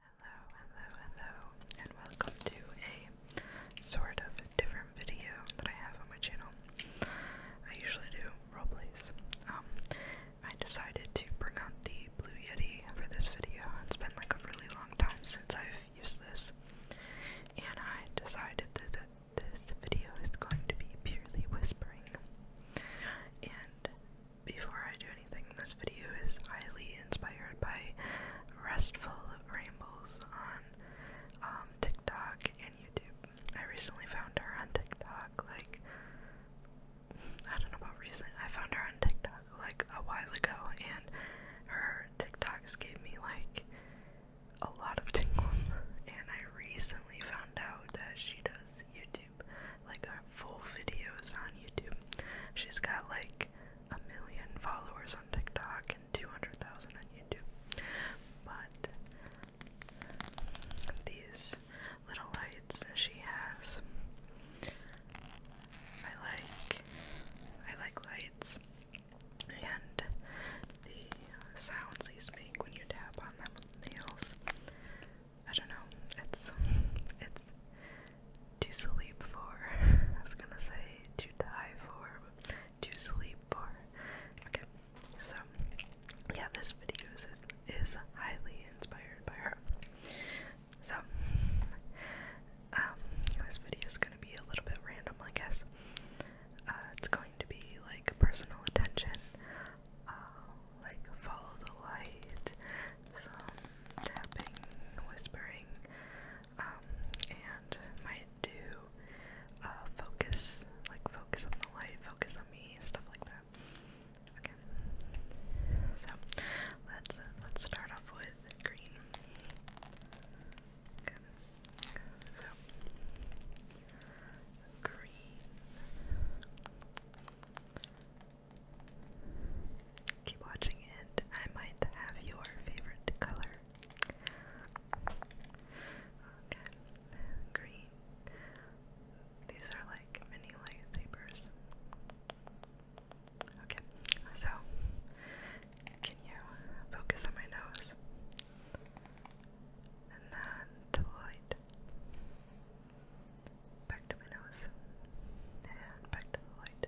Hello, hello, hello, and welcome to a sort of different video that I have on my channel. I usually do roleplays. Um, I decided to bring out the Blue Yeti for this video. It's been like a really long time since I've used this, and I decided that this video is going to be purely whispering. And before I do anything, this video is highly inspired by Restful Rainbows on um, TikTok and YouTube. I recently found her on TikTok, like, I don't know about recent, I found her on TikTok like a while ago, and her TikToks gave me like a lot of tingles, and I recently found out that she does YouTube like full videos on YouTube. She's got like a million followers on TikTok and 200,000 on YouTube. But these little lights that she has, I like. I like lights and the sounds these make when you tap on them with nails. I don't know. It's it's to sleep for. I was gonna say to die for, too sleep for. Okay, so yeah, this video is is highly inspired by her. So um, this video is gonna be a little bit random, I guess. Uh, it's going to be like personal attention, uh, like follow the light, some tapping, whispering, um, and might do uh, focus, like focus on the light, focus on me, stuff like that. Okay, so let's uh, let's start off with green. Okay, so green Keep watching and I might have your favorite color. green. These are like mini lightsabers. Okay, so can you focus on my nose? And then the light back to my nose, and back to the light,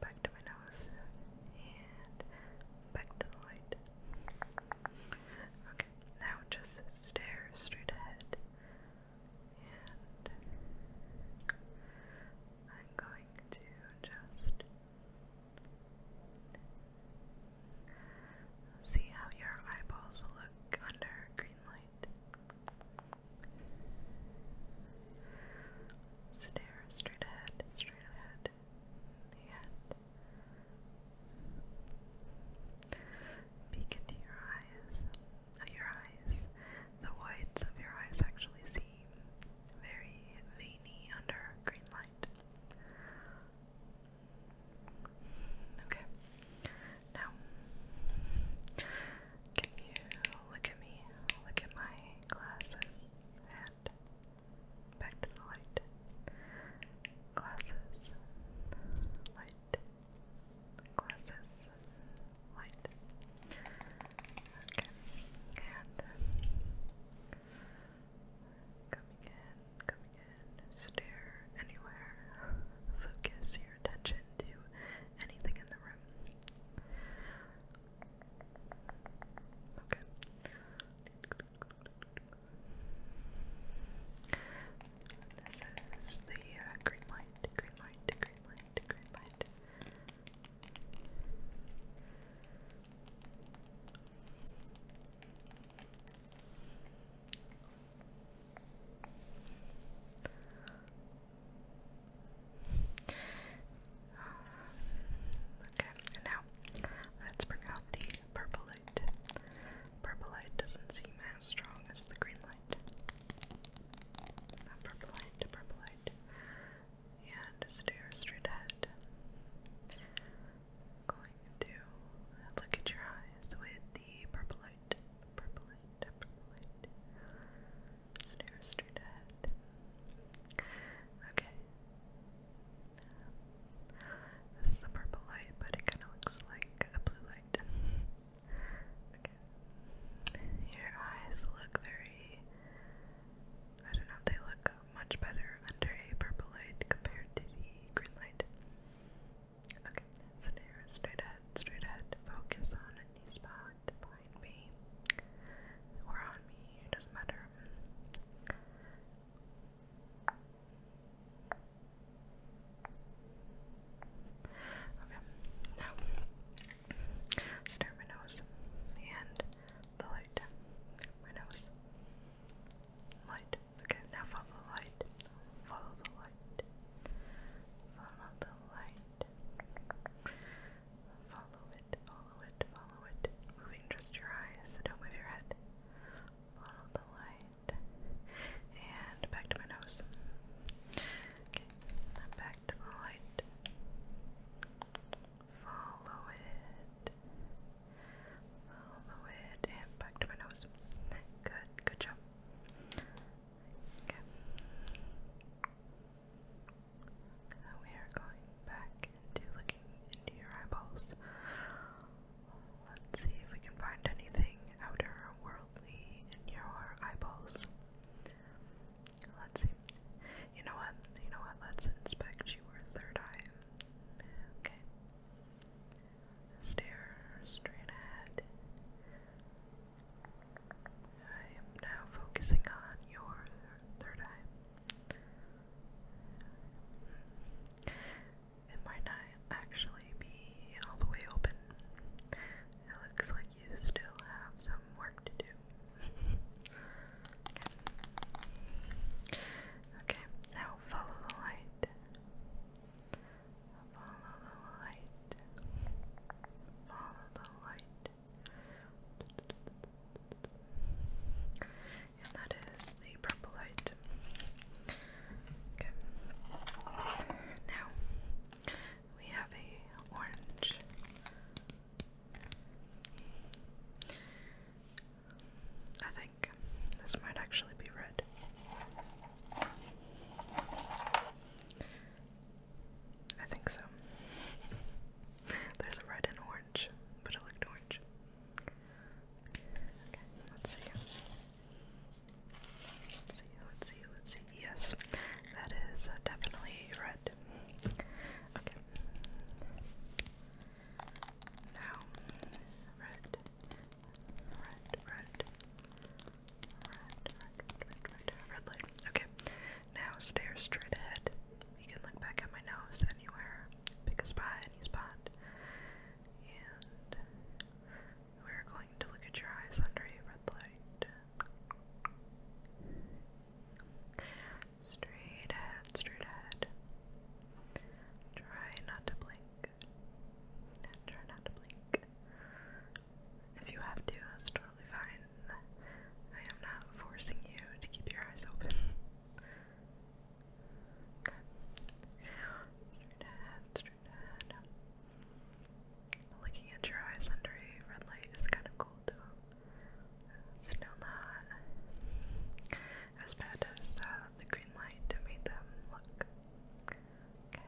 back to my nose, and back to the light. Okay, now just stare straight ahead, and I'm going to just see how your eyeballs look under green light straight ahead, straight ahead, the end. Peek into your eyes. Oh, your eyes. The whites of your eyes actually seem very veiny under green light. Okay. Now, can you look at me? Look at my glasses and back to the light. Glasses, light, glasses, light. Okay, and uh, coming in, coming in, stare anywhere, focus here your attention to anything in the room. Okay. This is the uh, green light, green light, green light, green light. Okay, and now let's bring out the purple light. Purple light doesn't seem as strong as the green light. purple light, purple light. And stare straight ahead. going to look at your eyes with the purple light purple light, purple light. Snare straight ahead. Okay. This is a purple light, but it kind of looks like a blue light. okay. Your eyes look very. I don't know they look much better under a purple light compared to the green light. Okay, stare straight ahead, straight ahead. Focus on a new spot behind me or on me, it doesn't matter. Okay, now stare my nose and the light. My nose, light. Okay, now follow the light. Follow the light. Follow the light. Follow it, follow it, follow it. Moving just your eyes, don't move your head. Follow the light. And back to my nose. Okay, back to the light. Follow it. Follow it. And back to my nose. Good, good job we are going back into looking into your eyeballs. Let's see if we can find anything outer worldly in your eyeballs. Let's see. You know what? You know what? Let's inspect your third eye. Okay. Stare straight ahead. I am now focusing on your third eye. It might not actually be all the way open. It looks like you still have some work to do. okay. okay, now follow the light. Follow the light. Follow the light. And that is the purple light. Okay. Now we have a orange. I this might actually be red. I think so. There's red and orange, but it looked orange. Okay, let's see. Let's see, let's see, Yes, that is uh, definitely red. Okay. Now, red, Red, red. Red, red, red, red, light. Okay, now stare straight ahead. You can look back at my nose anywhere. Pick a spot, any spot. And we're going to look at your eyes under red light. Straight ahead, straight ahead. Try not to blink. Try not to blink. If you have to, that's totally fine. I am not forcing you to keep your eyes open. okay. Straight ahead, straight ahead. Looking at your eyes under a red light is kind of cool too. Still not as bad as uh, the green light made them look. Okay,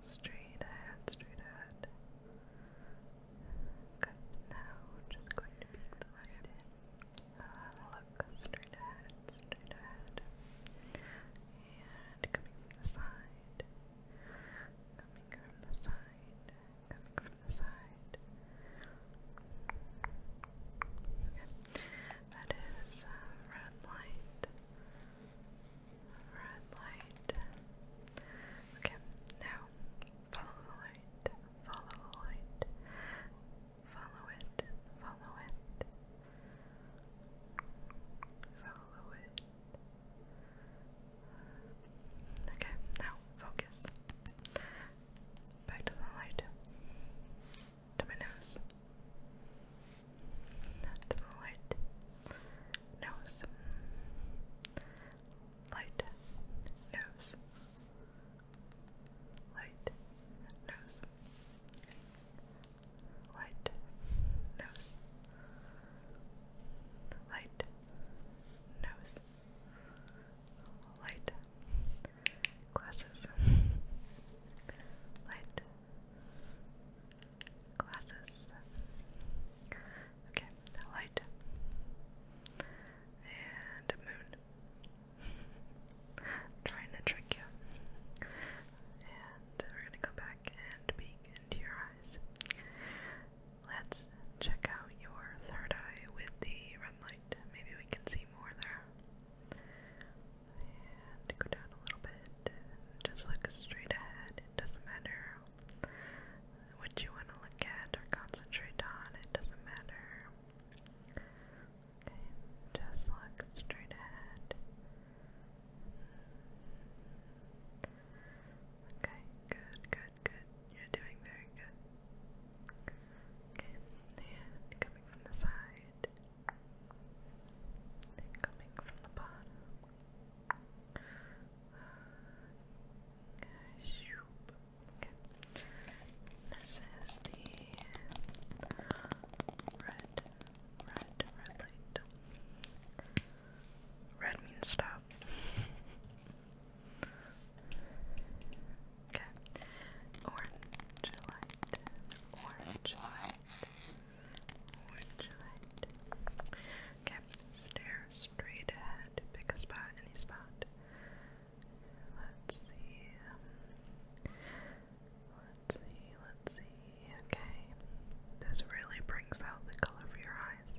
straight ahead, straight ahead. Good, now we're just going to peek the light in. look straight ahead, straight ahead. And coming from the side. Coming from the side. Coming from the side. Okay. That is uh, red light. Red light. Okay, now follow the light. Follow the light. Follow it. Follow it. Follow it. Okay, now focus. Back to the light to my nose. To the light nose. Light nose. Light nose. Light nose. Light nose. Light glasses. Light Glasses. Okay, that light. And moon. Trying to trick you. And we're gonna go back and peek into your eyes. Let's check out your third eye with the red light. Maybe we can see more there and go down a little bit. Just look straight ahead. It doesn't matter what you want to look at or concentrate on. It doesn't matter. Okay, just look straight ahead. Okay, good, good, good. You're doing very good. Okay, and coming from the side and coming from the bottom. Okay. This is the red, red, red light. Red means stop. Okay. Orange light. Orange light. Okay, stare straight ahead. Pick a spot, any spot. Let's see. let's see, let's see. Okay, this really brings out the color of your eyes.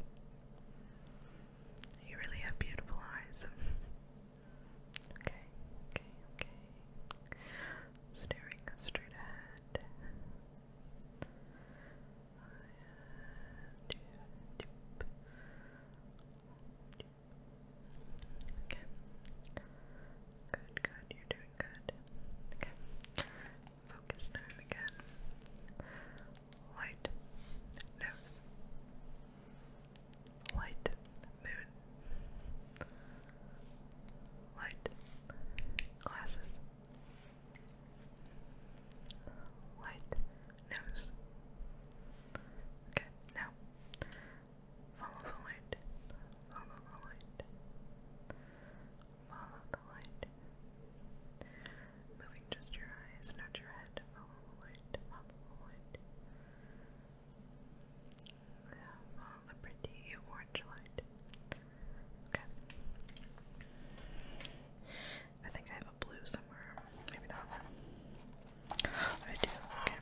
You really have beautiful eyes. okay, okay, okay staring straight ahead. Good, good, you're doing good. Okay. Focus time again. Light nose. Light moon, light, glasses, light, nose. Okay, now follow the light, follow the light, follow the light. Moving just your eyes, not your head. Follow the light, follow the light. Follow orange light. Okay. I think I have a blue somewhere. Maybe not. I do. Okay.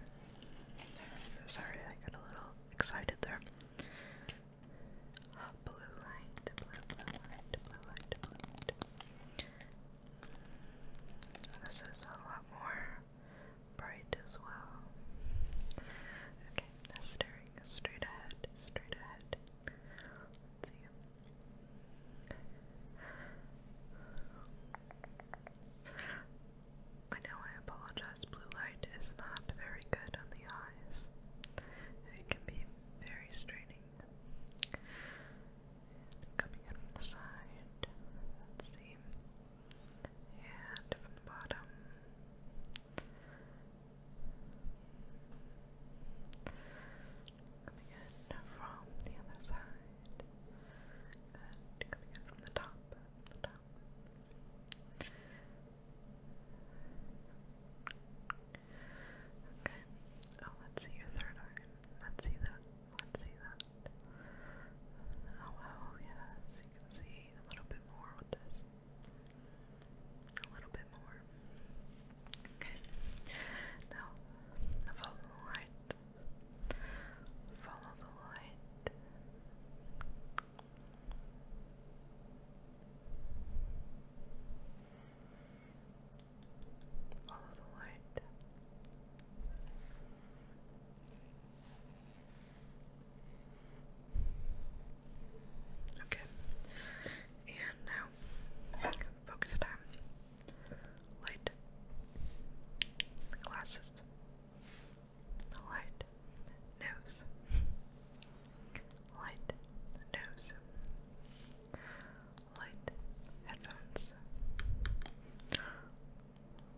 Sorry, I got a little excited there. Blue light, blue light, blue light, blue light. This is a lot more bright as well. Okay, now staring straight ahead, straight ahead. see. I know I apologize, blue light is not very good on the eyes. It can be very straining. Coming in from the side, see and from the bottom. Coming in from the other side. Good. Coming in from The top. Okay. Oh, let's see your third eye. Let's see that. Let's see that. Oh, oh, yes, you can see a little bit more with this. A little bit more. Okay. Now, follow the light. Follow the light. Follow the light. Okay. And now, focus time. Light. Glasses. Light. Nose. Light. Nose. Light. Headphones.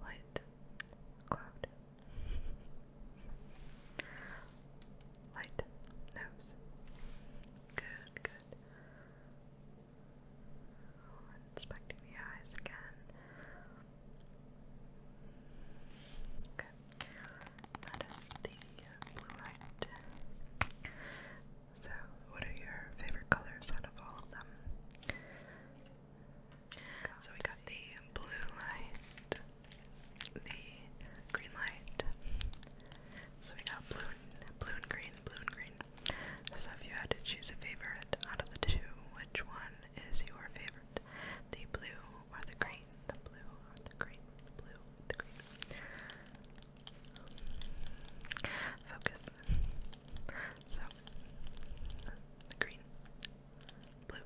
Light. Cloud. Light nose. Good, good. Inspecting the eyes again. Okay. That is the blue light. So, what are your favorite colors out of all of them? So we got the blue light, the green light. So we got blue blue and green, blue and green. So if you had to choose a favorite out of the two, which one is your favorite? The blue or the green? The blue or the green? blue, the green. Focus. So the green blue,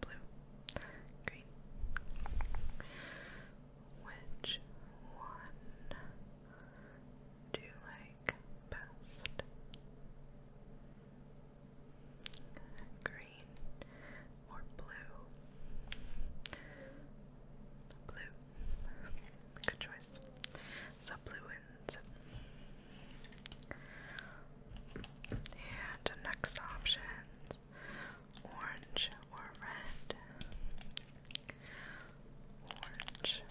blue, green. Which one do you like best? Green or blue? Blue. Good choice subluins. And next options orange or red. Orange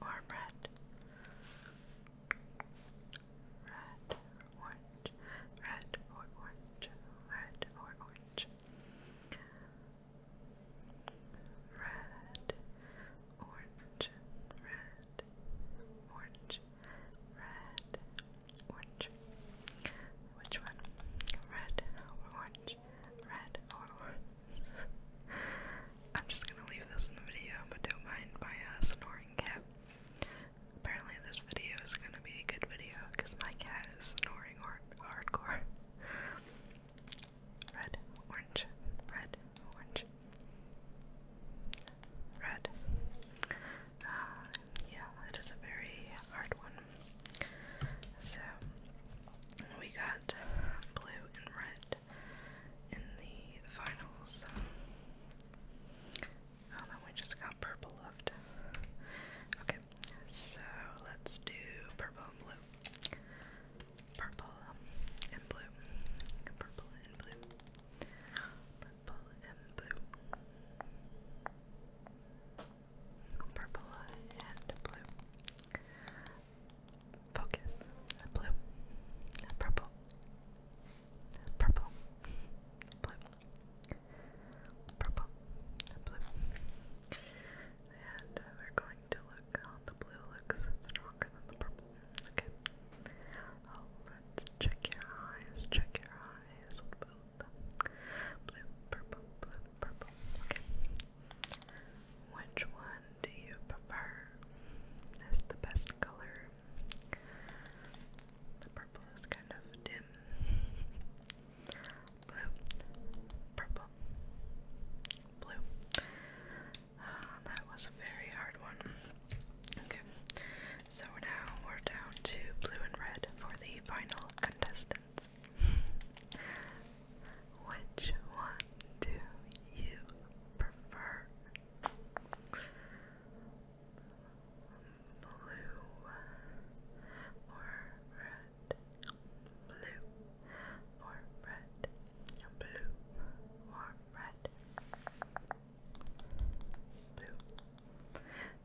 or red. Red orange. Red or orange. Red or orange. Red orange, red, orange, red, orange. Which one? Red orange? Red orange? I'm just gonna leave this in the video, but don't mind my uh, snoring cat. Apparently, this video is gonna be a good video because my cat is snoring hard hardcore red, orange, red, orange, red. Uh, yeah, it is a very hard one. So we got blue and red in the finals. Oh, we just got purple left. Okay, so let's do purple and blue purple and blue. Purple and blue. Purple and blue. Purple and blue. Focus. Blue. Purple. Purple. Blue. Purple. Blue. And uh, we're going uh, the blue looks stronger than the purple. Okay. Oh, let's check your eyes. Check your eyes with Blue, purple, blue, purple. Okay. Which one do you prefer? Is the best color? The purple is kind of dim. Blue, purple, blue. Ah, that was a very hard one. Okay, so now we're down to blue and red for the final contestants. Which one do you prefer? Blue or red? Blue or red? blue or red. Blue,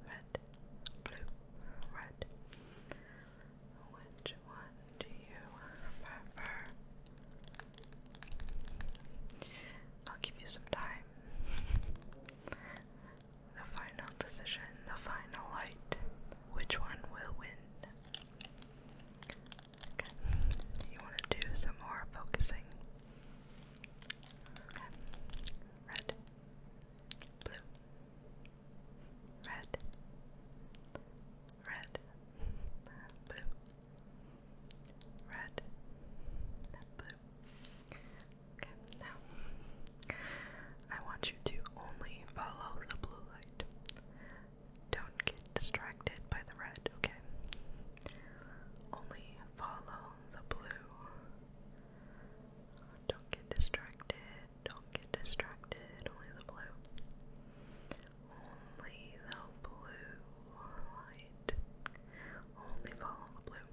red, blue, red. Which one do you prefer? I'll give you some time. the final decision, the final light. Which one will win? Okay. You want to do some more focusing. Okay. Red. Blue. Red. Red. Blue. Red. Blue. Okay, now I want you to only follow the blue light. Don't get distracted by the red, okay? Only follow the blue. Don't get distracted. Don't get distracted. Only the blue. Only the blue light. Only follow the blue.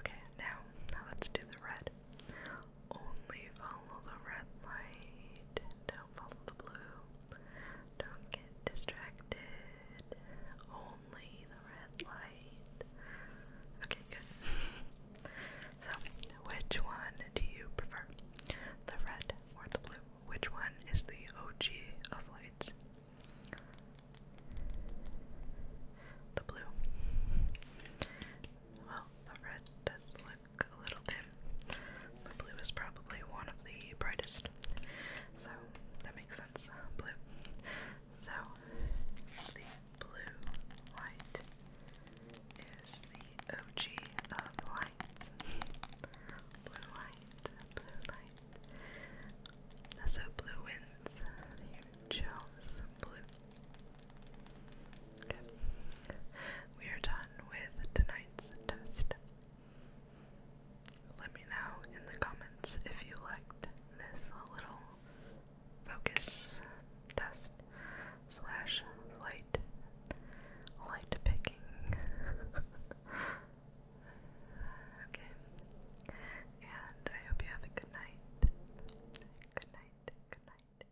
Okay, now, now let's do the red. Only follow the red light follow the blue. Don't get distracted. Only the red light. Okay, good. so, which one do you prefer? The red or the blue? Which one is the OG of lights? The blue. Well, the red does look a little dim. The blue is probably one of the brightest, so that makes sense. Uh, blue. So the blue light is the OG of light. Blue light, blue light. So blue wins. You chose blue. Okay. Weird time with tonight's test. Let me know in the comments if you liked this little focus test slash light light picking. okay. And I hope you have a Good night. Good night. Good night. Good night.